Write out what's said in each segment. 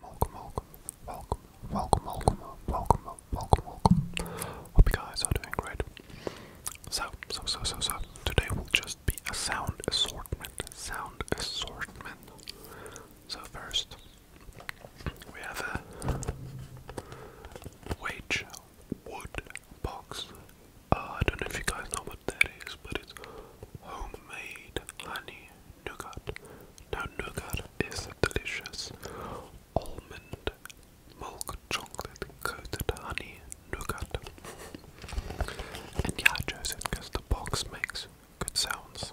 Welcome, welcome, welcome, welcome, welcome, welcome, welcome, welcome. Hope you guys are doing great. So, so, so, so, so, today will just be a sound assortment. Sound assortment. So, first, we have a wage wood box. Uh, I don't know if you guys know what that is, but it's homemade honey nougat. Now nougat is delicious almond milk chocolate coated honey nougat. And yeah, I chose it because the box makes good sounds.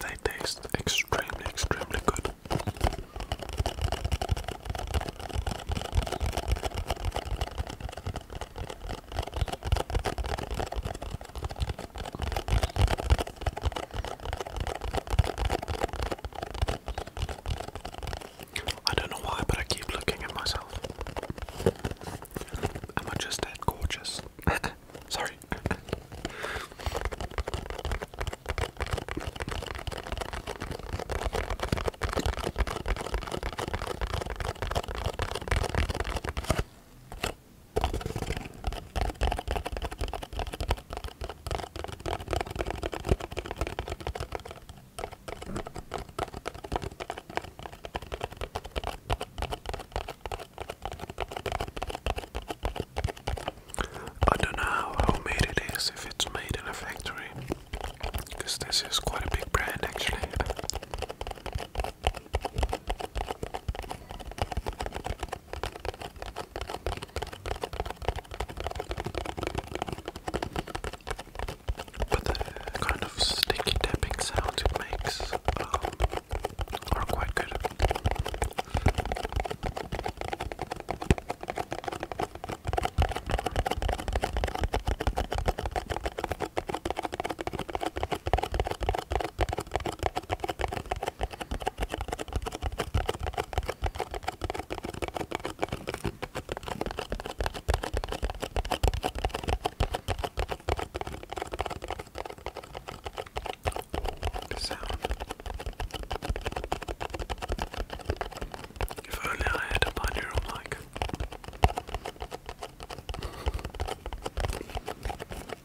They taste extremely, extremely good. I don't know why, but I keep looking at myself. Am I just that gorgeous? Sorry. I don't know how made it is, if it's made in a factory, because this is quite a big brand actually. But the kind of sticky tapping sounds it makes um, are quite good. The sound. If only I had a binaural mic.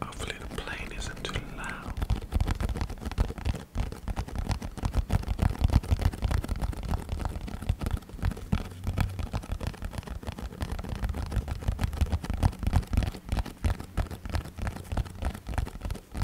Hopefully, the plane isn't too loud.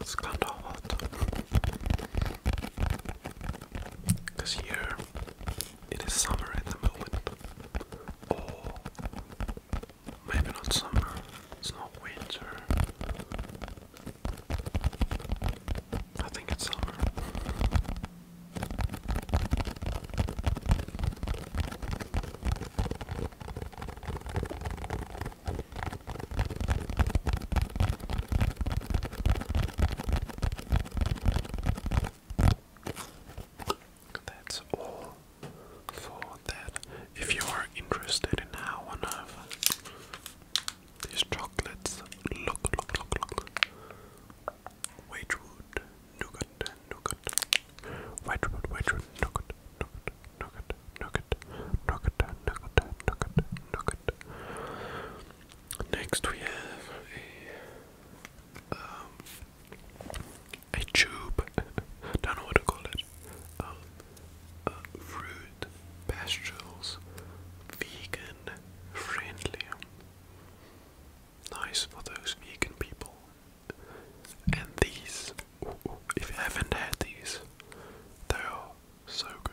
It's kinda hot. Cause here it is summer at the moment. Or maybe not summer, it's not winter. I think it's summer. That's all for that. If you are interested in how one of these chocolates look, look, look, look. Wedgewood, nougat, nougat. Wedgewood, Wedgewood, nougat, nougat nugget, nugget, nugget, nugget, nugget, nugget. Next we have a um, a tube. Don't know what to call it. Um, uh, fruit pastures, vegan friendly. Nice for those vegan people. And these, if you haven't had these, they are so good.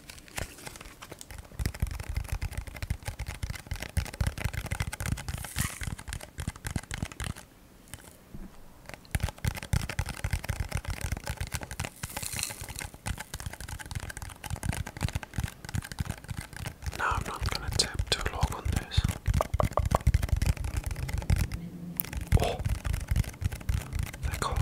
Now I'm not going to tap too long on this. Oh, the color.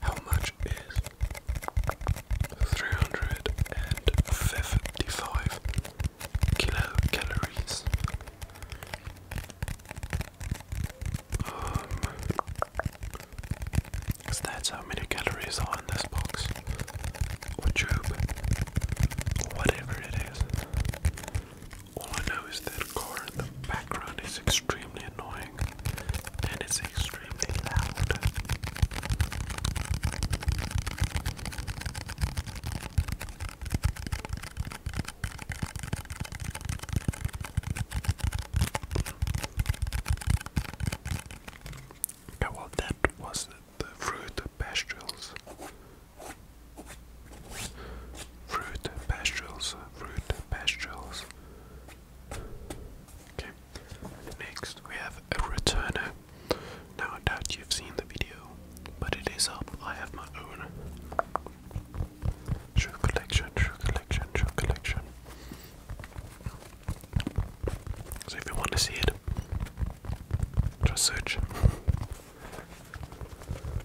How much is three hundred and fifty-five kilocalories? Um, that's how many calories are in this box, or tube, or whatever it is. All I know is that car in the background is extremely annoying and it's extremely loud. Yeah, well, that was the fruit pastures. Fruit pastures, fruit pastures, next we have a returner. Now, I doubt you've seen the video, but it is up. I have my own shoe collection, shoe collection, shoe collection. So, if you want to see it, just search.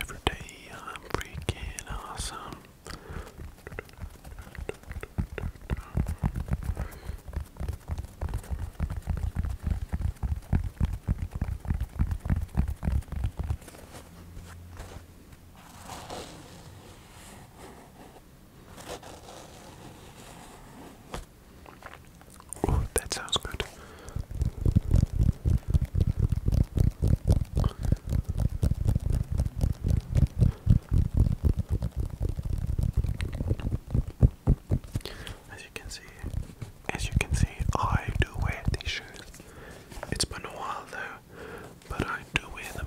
Every day I'm freaking awesome. Oh, that sounds good. As you can see, as you can see, I do wear these shoes. It's been a while though, but I do wear them.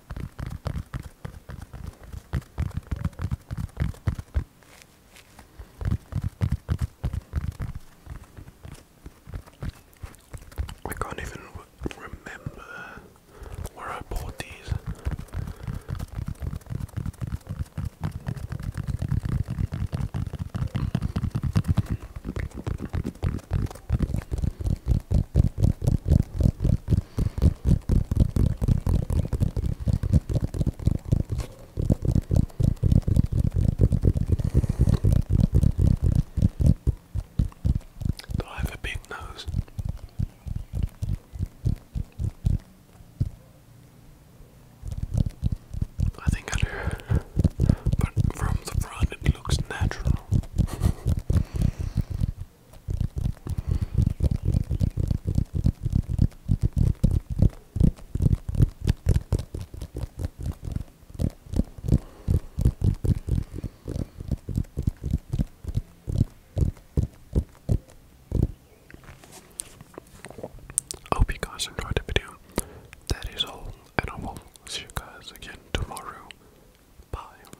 I can't even remember where I bought these. Do I have a big nose? I think I do, but from the front it looks natural. I hope you guys enjoyed the video. That is all, and I will see you guys again tomorrow. Bye.